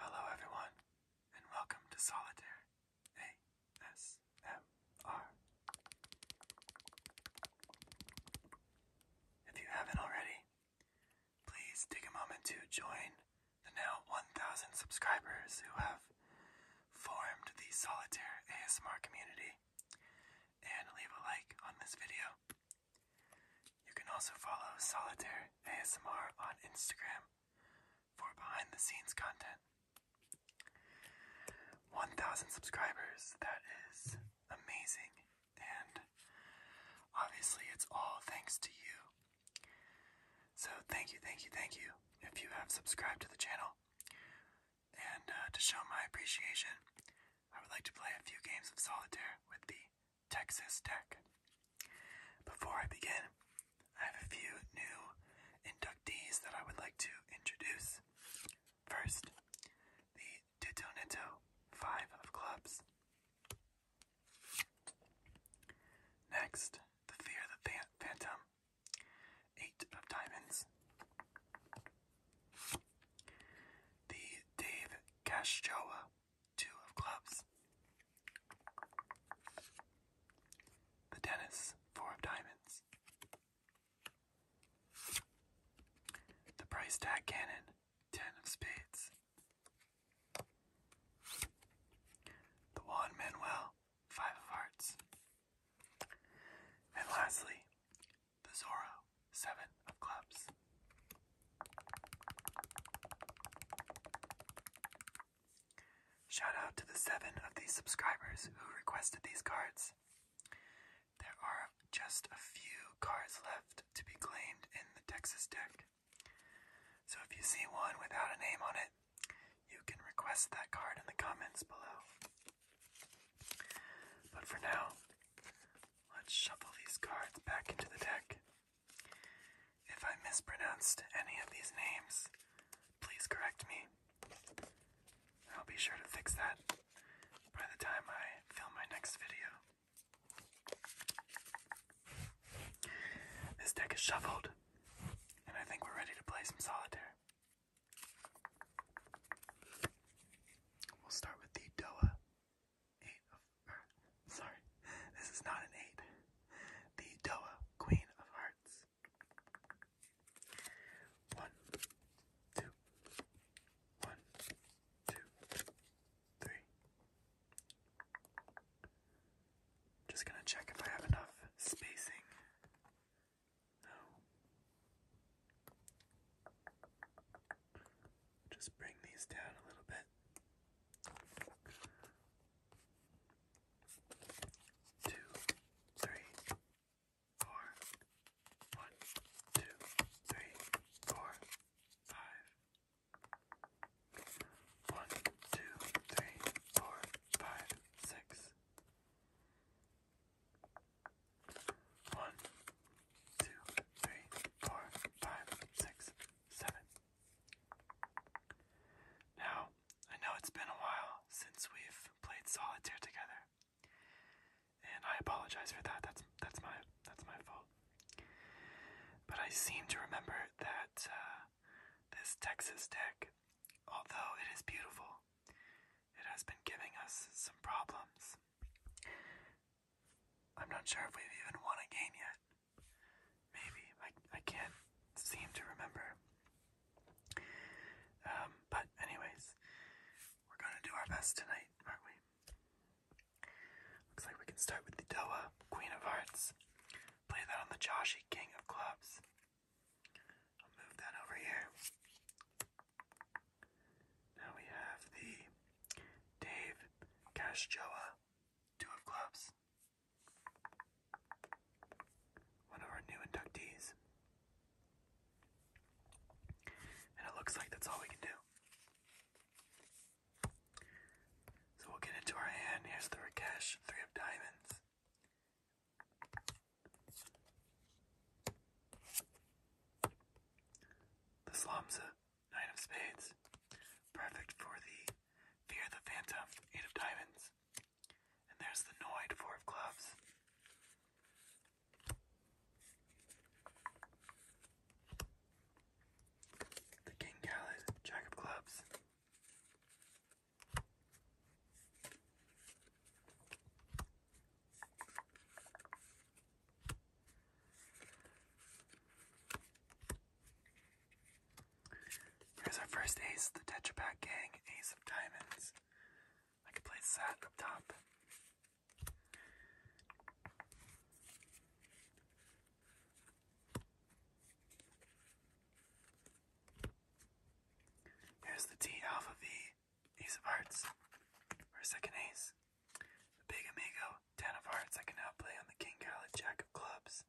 Hello, everyone, and welcome to Solitaire ASMR. If you haven't already, please take a moment to join the now 1,000 subscribers who have formed the Solitaire ASMR community and leave a like on this video. You can also follow Solitaire ASMR on Instagram for behind the scenes content. 1,000 subscribers, that is amazing, and obviously it's all thanks to you. So, thank you, thank you, thank you if you have subscribed to the channel. And uh, to show my appreciation, I would like to play a few games of solitaire with the Texas Tech. Before I begin, I have a few new inductees that I would like to introduce. First, the Titonito Five of Clubs. Next, the Fear the Phantom Eight of Diamonds. The Dave Castroa, Two of Clubs. The Dennis, Four of Diamonds. The Price Tag Cannon, Ten of Spades. The Juan Manuel, Five of Hearts. And lastly, the Zorro, seven of clubs. Shout out to the seven of these subscribers who requested these cards. There are just a few cards left to be claimed in the Texas deck. So if you see one without a name on it, you can request that card in the comments below. But for now, let's shuffle these cards back into the deck. If I mispronounced any of these names, please correct me. I'll be sure to fix that by the time I film my next video. This deck is shuffled, and I think we're ready to play some solitaire. We'll start with the DOA 8 of er, sorry, this is not an 8. The DOA Queen of Hearts. One, two, one, two, three. Just gonna check if I have enough spacing. Now, just bring these down a little bit two, three, four, one, two, three, four, five, one, two, three, four, five, six. One, two, three, four, five, six, seven. Now, I know it's been a while since we've played solitaire together. And I apologize for that. That's that's my that's my fault. But I seem to remember that uh, this Texas deck, although it is beautiful, it has been giving us some problems. I'm not sure if we've even won a game yet. Maybe. I, I can't seem to remember. Um, but, anyways, we're gonna do our best tonight, aren't we? Looks like we can start with the Doa, Queen of Hearts. Play that on the Joshi, King of Clubs. I'll move that over here. Now we have the Dave Cashjoa Two of Clubs. One of our new inductees. And it looks like that's all we can do. So we'll get into our hand. Here's the Rakesh Three of Diamonds. The Slum's a Nine of Spades, perfect for the Fear the Phantom, Eight of Diamonds. And there's the Noid, Four of Clubs. The King Khaled, Jack of Clubs. Here's our first ace, the Tetrapack Gang, ace of diamonds. I could place that up top. Here's the T Alpha V, ace of hearts for second ace. the big amigo, ten of hearts. I can now play on the king, gallet, jack of clubs.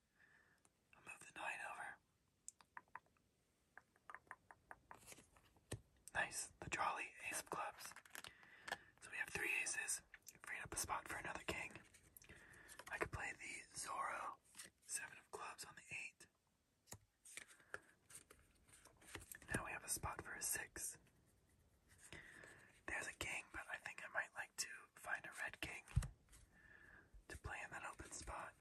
move the nine over. Nice, the jolly ace of clubs. So we have three aces. Freed up a spot for another king. I could play the Zorro, seven of clubs on the eight. Now we have a spot for a six. There's a king, but I think I might like to find a red king to play in that open spot.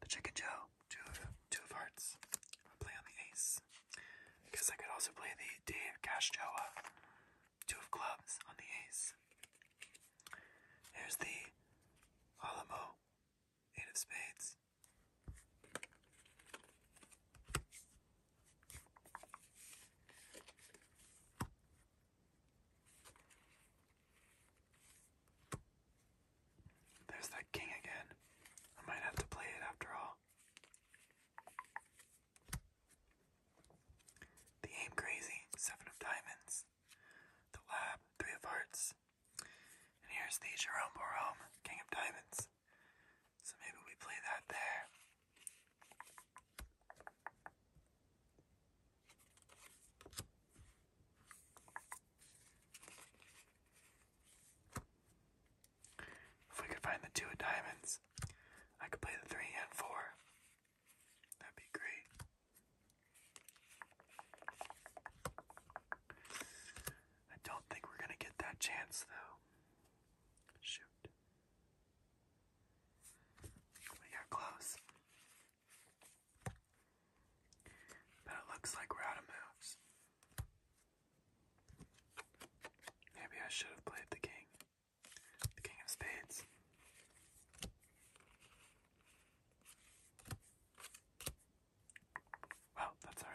The Chicken Joe, two of, two of hearts. I'll play on the ace. I I could also play the Dave Cash Joa. Two of clubs on the ace. There's the Alamo, eight of spades. There's that king again. I might have to play it after all. The Aim Crazy, Seven of Diamonds. The Lab, Three of Hearts. And here's the Jerome Borome, King of Diamonds. So maybe we play that there. If we could find the two of diamonds, I could play the three and four. That'd be great. I don't think we're gonna get that chance though. Shoot. We got close. But it looks like we're out of moves. Maybe I should have played the king. The King of Spades. Well, that's all right.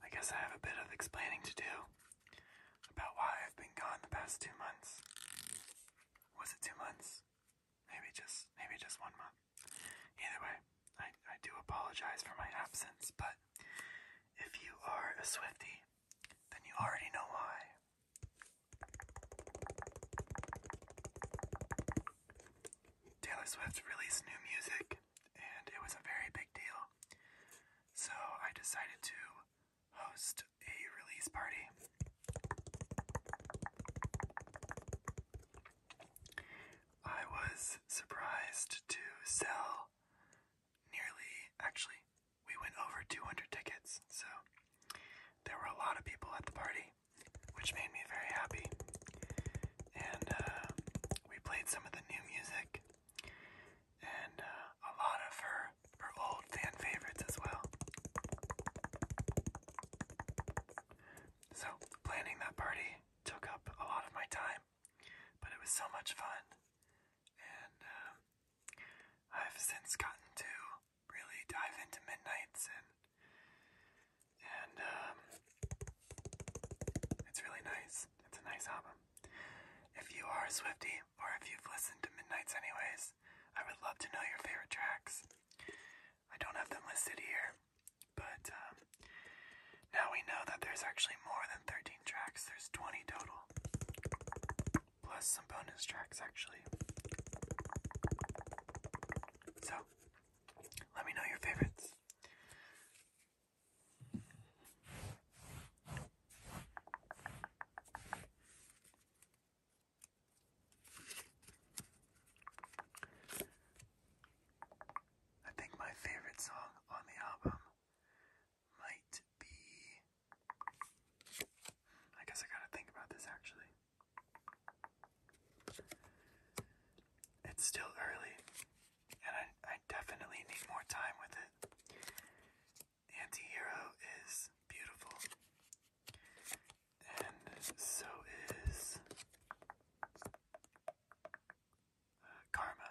I guess I have a bit of explaining to do about why I've been gone the past two months. Was it two months? Maybe just maybe just one month. Either way, I, I do apologize for my absence, but if you are a Swifty, then you already know why. Taylor Swift released new music, and it was a very big deal. So I decided to host a release party. I was surprised to sell nearly, actually, we went over 200 tickets, so there were a lot of people at the party, which made me very happy. And uh, we played some of the new music and uh, a lot of her, her old fan favorites as well. So, planning that party took up a lot of my time, but it was so much fun. And um, I've since gotten to really dive into midnights and and um, it's really nice. It's a nice album. If you are a Swifty or if you've listened to Midnights anyways, I would love to know your favorite tracks. I don't have them listed here, but um, now we know that there's actually more than 13 tracks. There's 20 total plus some bonus tracks actually. So, let me know your favorites. I think my favorite song on the album might be I guess I gotta think about this actually. It's still early, and I, I definitely need more time with it. Antihero is beautiful, and so is uh, Karma.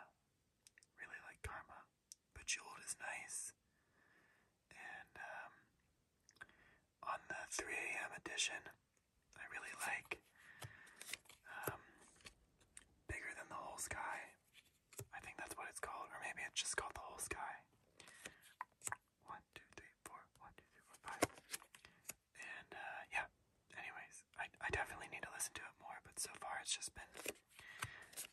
Really like Karma. But Jolt is nice. And um, on the 3 a.m. edition, I really like um, Bigger Than the Whole Sky. I think that's what it's called, or maybe it's just called The Whole Sky. One, two, three, four. One, two, three, four, five. And uh, yeah, anyways, I, I definitely need to listen to it more, but so far it's just been.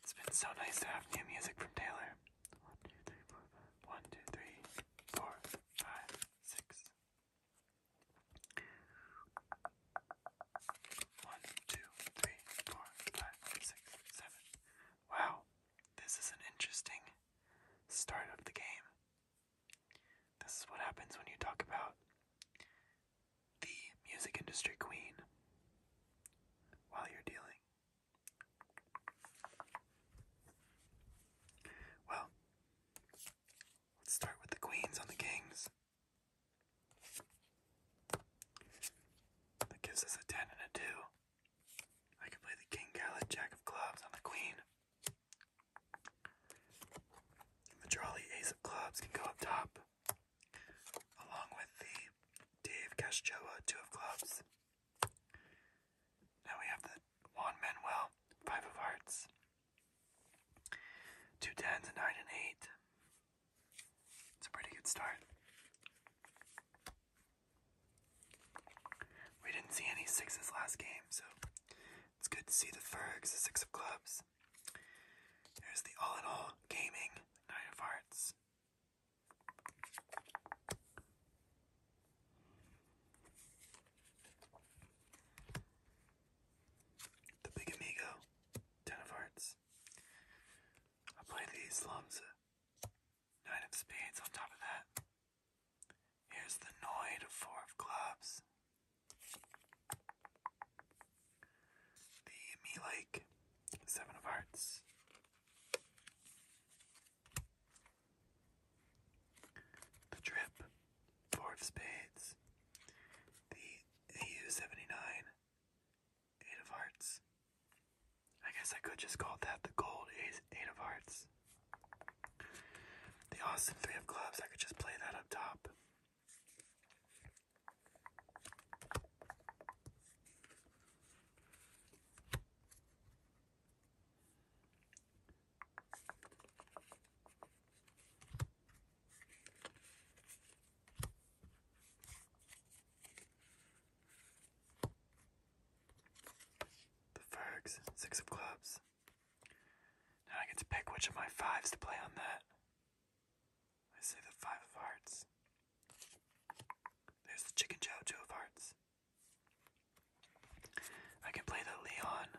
It's been so nice to have new music from Taylor. One, two, three, four, five. One, two, three, four, five, six. One, two, three, four, five, six, seven. Wow, this is an interesting start of the game. This is what happens when you talk about the music industry queen while you're dealing well, let's start with the queens on the kings. That gives us a 10 and a 2. I can play the king, gallet, jack of clubs on the queen. the jolly ace of clubs can go up top, along with the Dave Castroa two of clubs. Now we have the Juan Manuel, five of hearts, two tens, a nine, and eight. It's a pretty good start. We didn't see any sixes last game, so it's good to see the Fergs, the six of clubs. Here's the all in all gaming, nine of hearts, the Big Amigo, Ten of Hearts. I play the slums, Nine of Spades on top of that. Here's the Noid of Four of Clubs. The Me Seven of Hearts. The Trip, Four of Spades, the AU-79, Eight of Hearts. I guess I could just call that the Gold Ace, Eight of Hearts. The Austin Three of Clubs, I could just play that up top. The six of clubs. Now I get to pick which of my fives to play on that. I say the five of hearts. There's the chicken Joe two of hearts. I can play the Leon,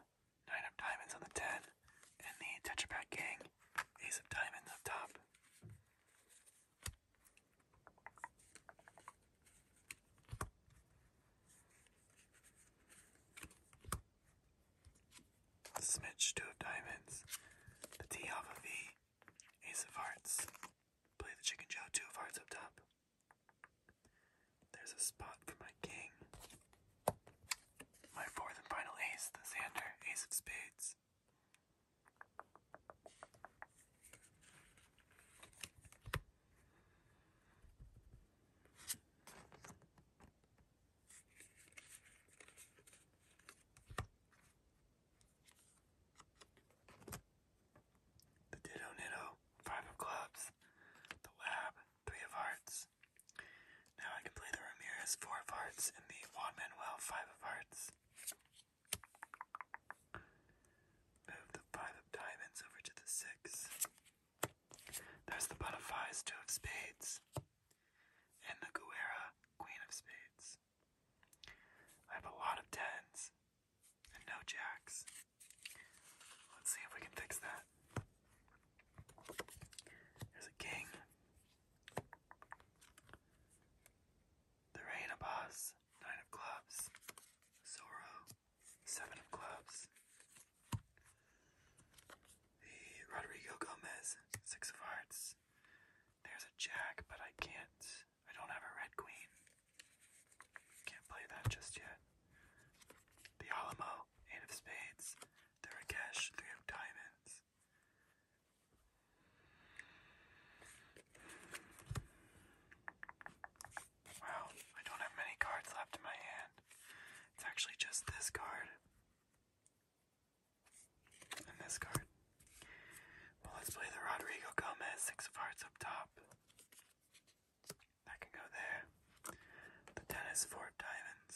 nine of diamonds on the ten, and the Tetrapack Pak gang, ace of diamonds up top. The Smitch, two of diamonds, the T alpha V, ace of hearts, Play the chicken Joe. two of hearts up top. There's a spot for my king. My fourth and final ace, the sander, ace of spades. The Ditto Nitto, five of clubs. The Lab, three of hearts. Now I can play the Ramirez, four of hearts, and the Juan Manuel, five of hearts. Move the five of diamonds over to the six. There's the butterflies, two of spades, and the Guerra, queen of spades tens. I have a lot of tens and no jacks. Let's see if we can fix that. There's a king. The reign of boss, nine of clubs. Zorro, seven of clubs. The Rodrigo Gomez, six of hearts. There's a jack, but I can't I don't have a red queen. Can't play that just yet. The Alamo, eight of spades. There The Rakesh, three of diamonds. Wow, I don't have many cards left in my hand. It's actually just this card. And this card. Well, let's play the Rodrigo Gomez Six of Hearts up top. That can go there. The Tennis Four Diamonds.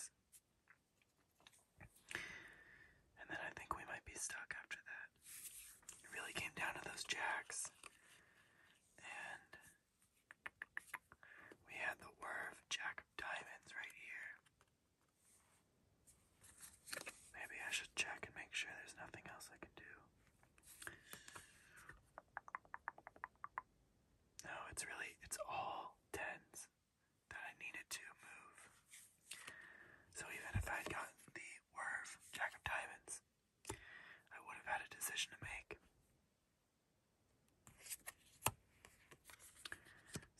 And then I think we might be stuck after that. It really came down to those jacks. And we had the Werve Jack of Diamonds right here. Maybe I should check and make sure there's nothing else I can do. No, it's really, it's all tens that I needed to move. So even if I had gotten the Werve Jack of Diamonds, I would have had a decision to make.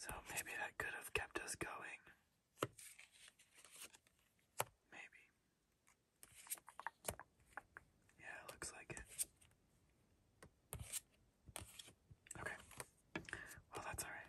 So maybe that could have kept us going Maybe. Yeah, looks like it. Okay. Well, that's all right.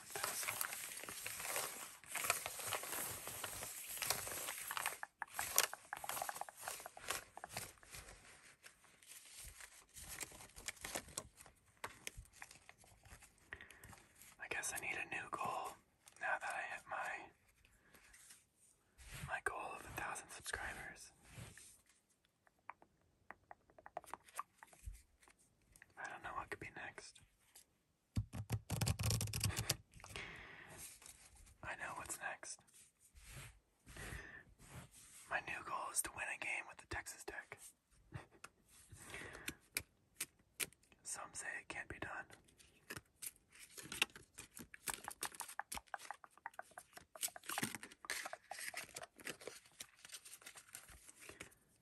I guess I need a new goal now that I hit my my goal of a thousand subscribers. I don't know what could be next. I know what's next. My new goal is to win a game with the Texas Tech. Some say it can't be done.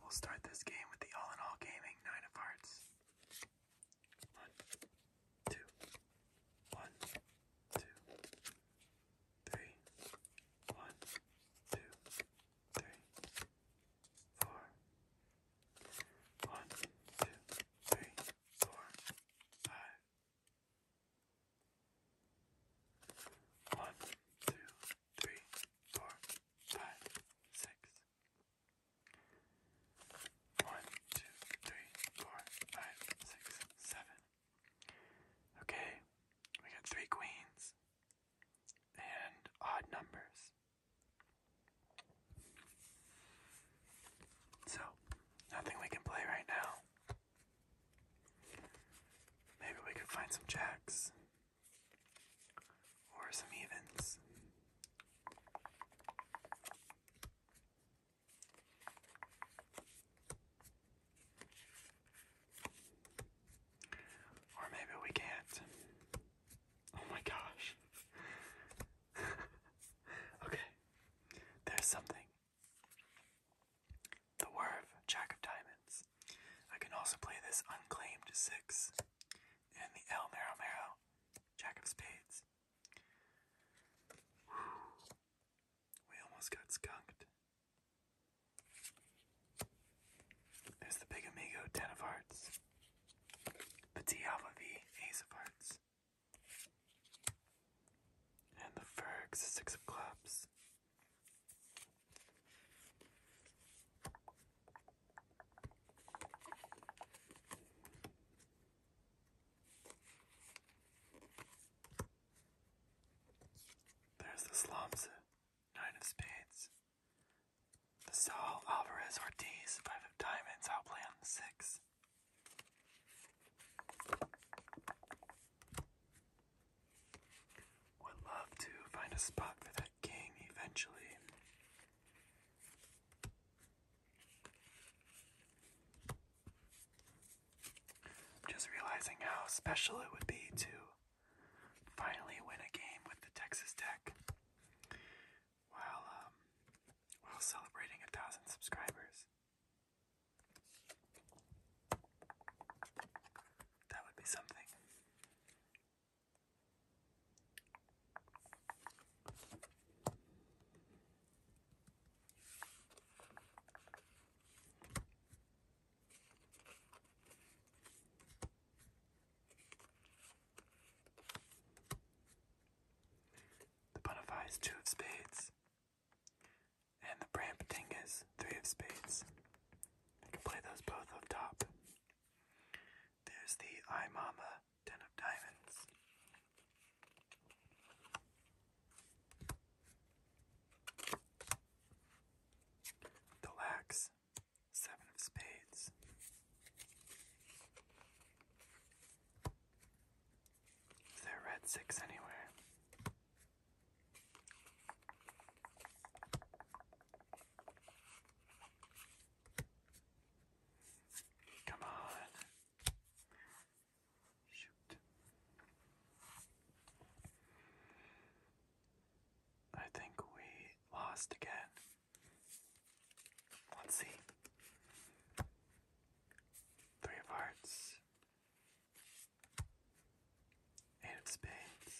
We'll start this game with the All in All Gaming Nine of Hearts. One, two, one, two, three, one, two, three, four, one, two, three, four, five, one, two, three, four, five, six. One, two, three, four, five, six, seven. Okay, we got three queens and odd numbers. So, nothing we can play right now. Maybe we could find some jacks. Or some evens. Or maybe we can't. Oh my gosh. okay, there's something the Werve, Jack of Diamonds. I can also play this unclaimed six, and the El Mero Jack of Spades. We almost got skunked. There's the Big Amigo, Ten of Hearts. Petit Alpha V, Ace of Hearts. And the Fergs, Six of Clubs. There's the slums, nine of spades. The Saul Alvarez Ortiz, five of diamonds, I'll play on the six. Would love to find a spot for that game eventually. just realizing how special it would be to finally win a game with the Texas Tech while um, while celebrating a thousand subscribers. That would be something. The Bonafide is two of spades, and the Brampton is three of spades. I can play those both up top. There's the I Mama Ten of Diamonds. The Lax Seven of Spades. Is there red six anywhere? Come on. Shoot. I think we lost again. Let's see. Three of hearts. Eight of Spades.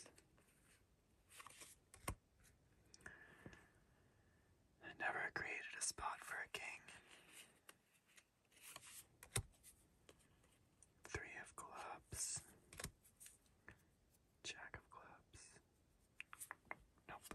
I never created a spot for a king. Three of clubs. Jack of clubs. Nope.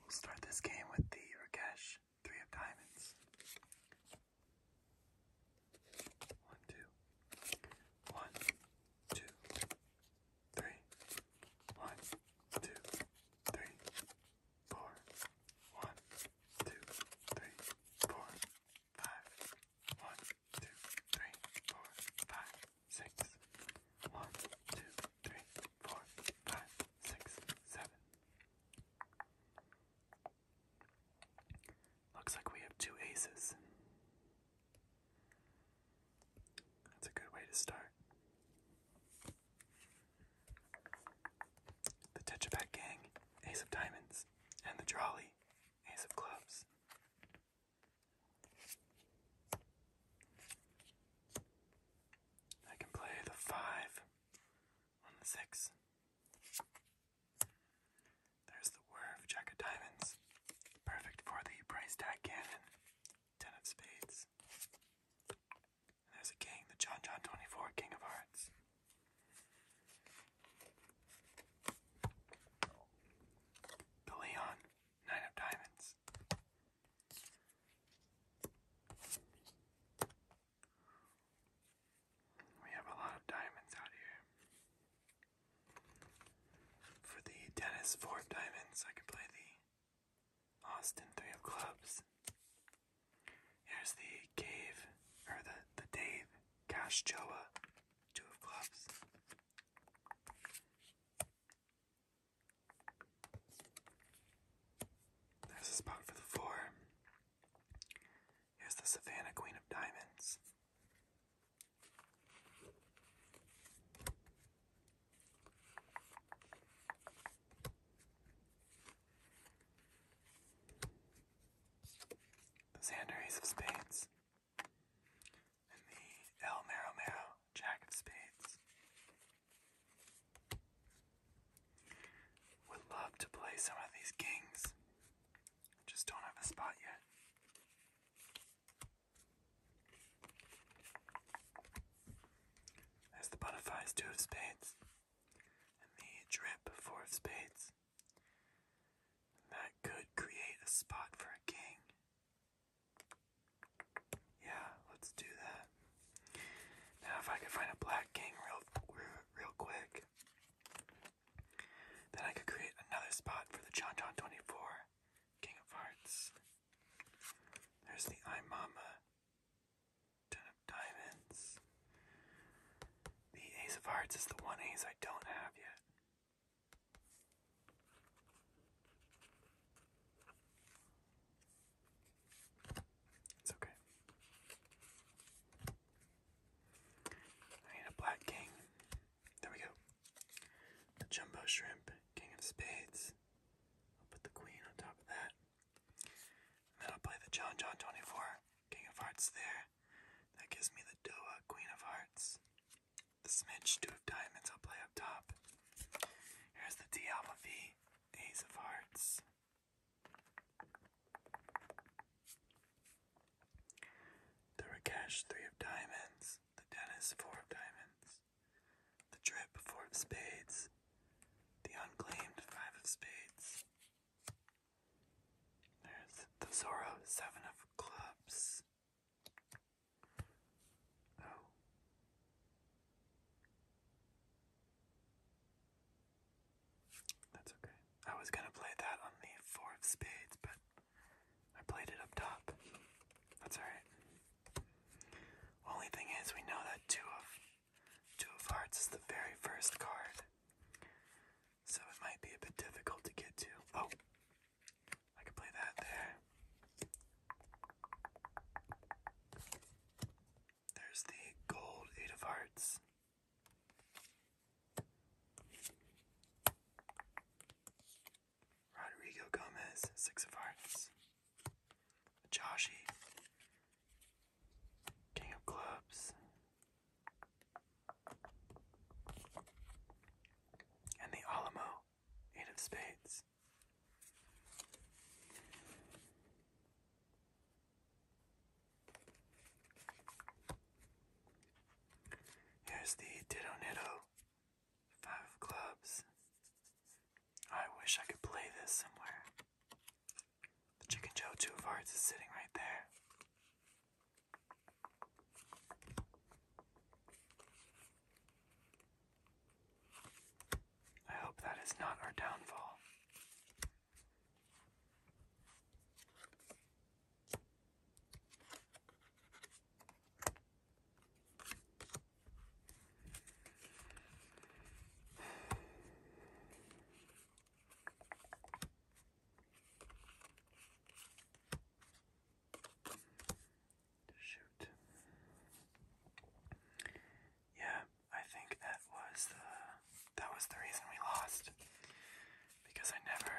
We'll start this game with the Rakesh Three of Diamonds. One, two, one, two, three, one, two, three, four, one, two, three, four, five. One, two, three, three, four, five, six, seven. Looks like we have two aces. That's a good way to start. The Tetrapack Gang, Ace of Diamonds, and the Trolley play Ace of Clubs. I can play the five on the six. There's the Werf Jack of Diamonds, perfect for the price tag cannon. Ten of Spades. there's a king, the John John 24, King of Hearts. The Leon, Nine of Diamonds. We have a lot of diamonds out here. For the Dennis four diamonds, I can play the Austin three of clubs. Here's the cave, or the the Dave Cash Joa, two of clubs. There's a spot for the four. Here's the Savannah Queen of Diamonds. Xander Ace of Spades, and the El Mero Jack of Spades. Would love to play some of these kings, just don't have a spot yet. There's the Butterflies Two of Spades, and the Drip Four of Spades. That could create a spot for a king. Yeah, let's do that. Now, if I could find a black king real, real quick, then I could create another spot for the John John 24 King of Hearts. There's the I Mama. Ten of Diamonds. The Ace of Hearts is the one ace I don't have yet. It's okay. I need a black king. There we go. The jumbo shrimp, king of spades. I'll put the queen on top of that. then I'll play the John John 24. King of Hearts there. That gives me the Doa, Queen of Hearts. The Smidge, Two of Diamonds, I'll play up top. Here's the D Alpha V, Ace of Hearts. The Rakesh, Three of Diamonds. The Dennis, Four of Diamonds. The Trip Four of Spades. The Unclaimed, Five of Spades. There's the Zorro Seven of Clubs. Oh. That's okay. I was gonna play that on the Four of Spades, but I played it up top. That's alright. Only thing is we know that two of two of hearts is the very first card so it might be a bit difficult to get to. Oh, I could play that there. There's the gold eight of hearts. Rodrigo Gomez, six of hearts. Joshi, King of Clubs. And the Alamo, Eight of Spades. Here's the Ditto Nitto, Five of Clubs. I wish I could play this somewhere. The Chicken Joe Two of Hearts is sitting right there. I hope that is not our downfall. Shoot. Yeah, I think that was the that was the reason we lost. Because I never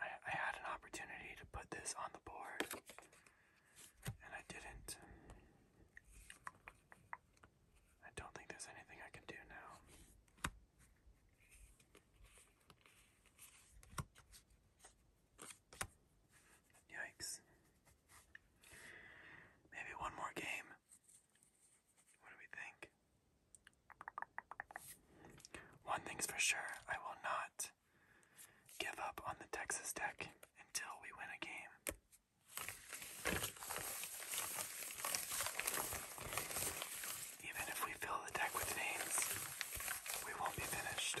I, I had an opportunity to put this on the board and I didn't. I don't think there's anything I can do now. Yikes. Maybe one more game. What do we think? One thing's for sure, I will not give up on the Texas Tech until we win a game. Even if we fill the deck with names, we won't be finished.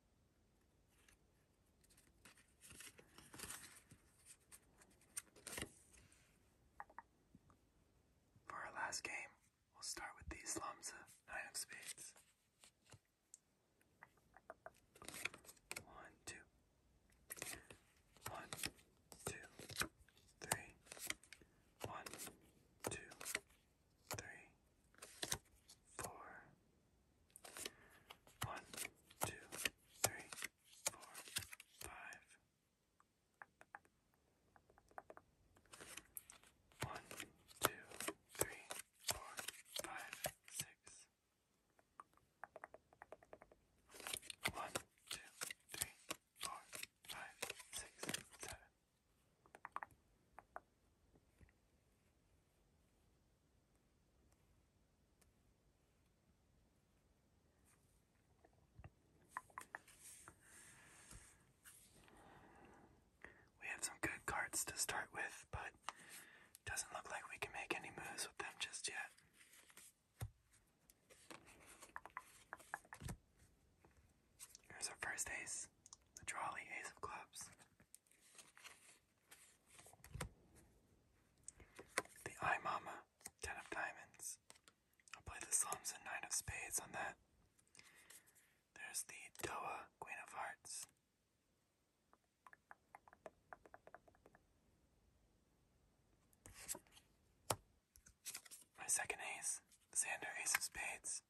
For our last game, we'll start with these slums of Nine of Spades. One, two. One, two, three. One, two, three, four. One, two, three, four, five. One, six. One, two, three, four, five, six, seven. We have some good cards to start with, but doesn't look like we can make any moves with them just yet. Here's our first ace, the trolley ace of clubs. The I Mama, ten of diamonds. I'll play the slums and nine of spades on that. There's the Doa, queen of hearts. My second ace, Sander ace of spades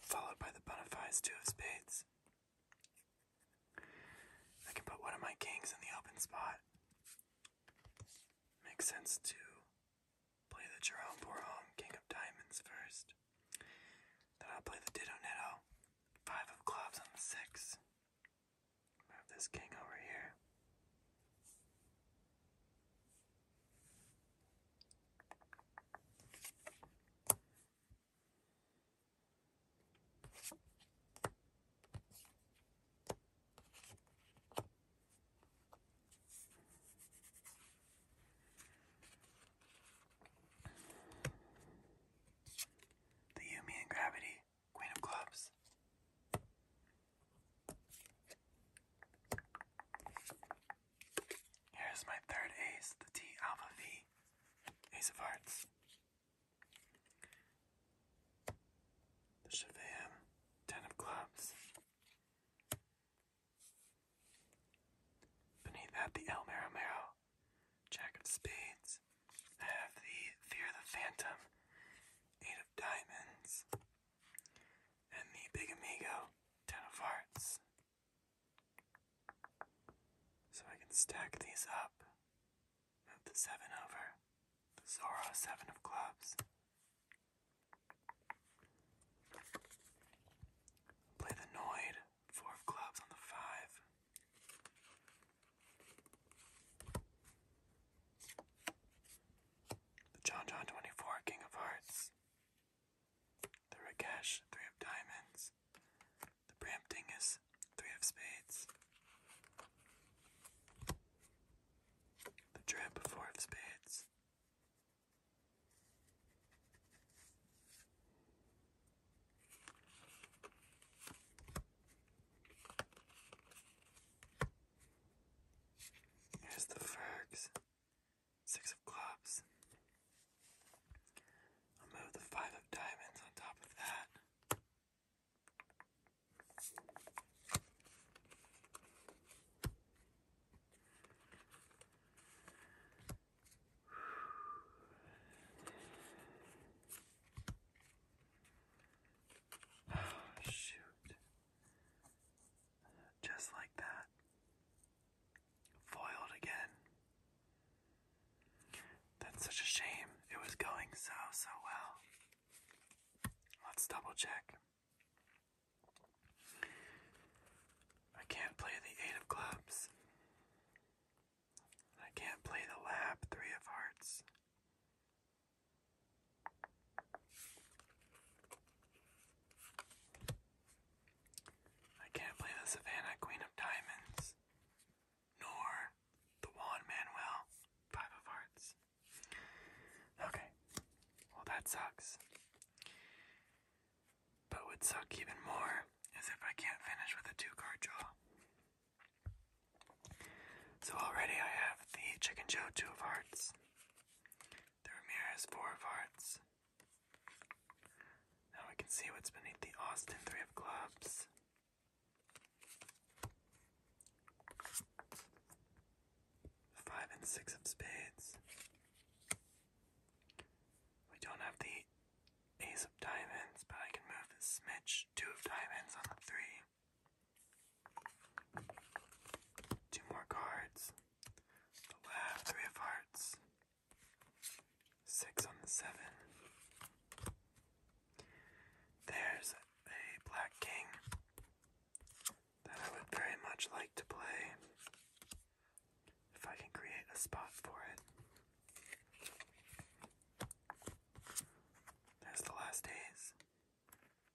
followed by the bona two of spades. I can put one of my kings in the open spot. Makes sense to play the Jerome Borhome king of diamonds first. Then I'll play the Ditto Netto, five of clubs on the six. Move this king over here. The Yumi and Gravity, Queen of Clubs. Here's my third ace, the T alpha V, ace of hearts. The Chevam, ten of clubs. Beneath that, the Elmer Maromero, jack of spades. I have the Fear the Phantom, eight of diamonds. And the Big Amigo, ten of hearts. So I can stack these up. Move the 7 over. The Zoro 7 of clubs. Play the Noid, 4 of clubs on the 5. The John John 24, King of Hearts. The Rakesh, three of diamonds. The is three of spades. The Drip, four of spades. Here's the Fergs, Six of clubs. move the five of diamonds on top of that. shoot. Just like that. Foiled again. That's such a shame. It was going so, so well. Let's double check. I can't play the Eight of Clubs. I can't play the Lab Three of Hearts. I can't play the Savannah Queen of Diamonds, nor the Juan Manuel Five of Hearts. Okay, well, that sucks. But would suck even more is if I can't finish with a two card draw. So already I have the Chicken Joe Two of Hearts. The Ramirez has four of hearts. Now we can see what's beneath the Austin three of clubs. Five and six of spades. We don't have the ace of diamonds, but I can move the smidge two of diamonds on the three. Two more cards the left, three of hearts, six on the seven. There's a black king that I would very much like to play if I can create a spot for it. There's the last days.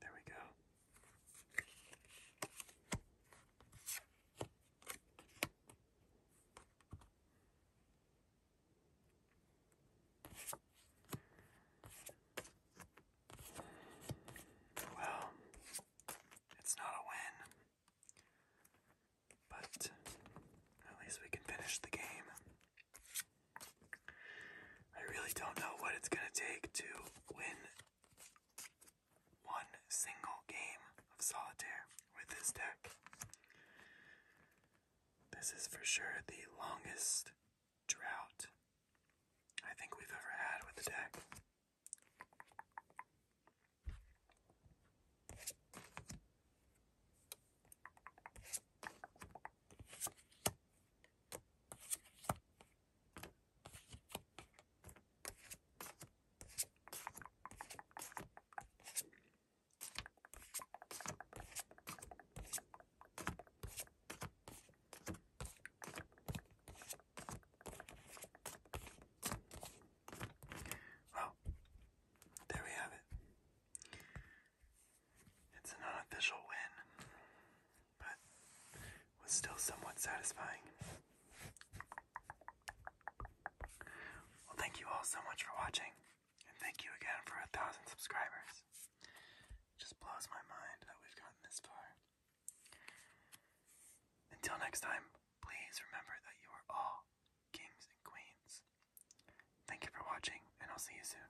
There we go. Well, it's not a win, but at least we can finish the game. I really don't know what it's going to take to win one single game of solitaire with this deck. This is for sure the longest drought I think we've ever had with the deck. Well, there we have it. It's an unofficial win but was still somewhat satisfying. Well, thank you all so much for watching, and thank you again for a thousand subscribers. just blows my mind that we've gotten this far. Until next time, please remember that you are all kings and queens. Thank you for watching, and I'll see you soon.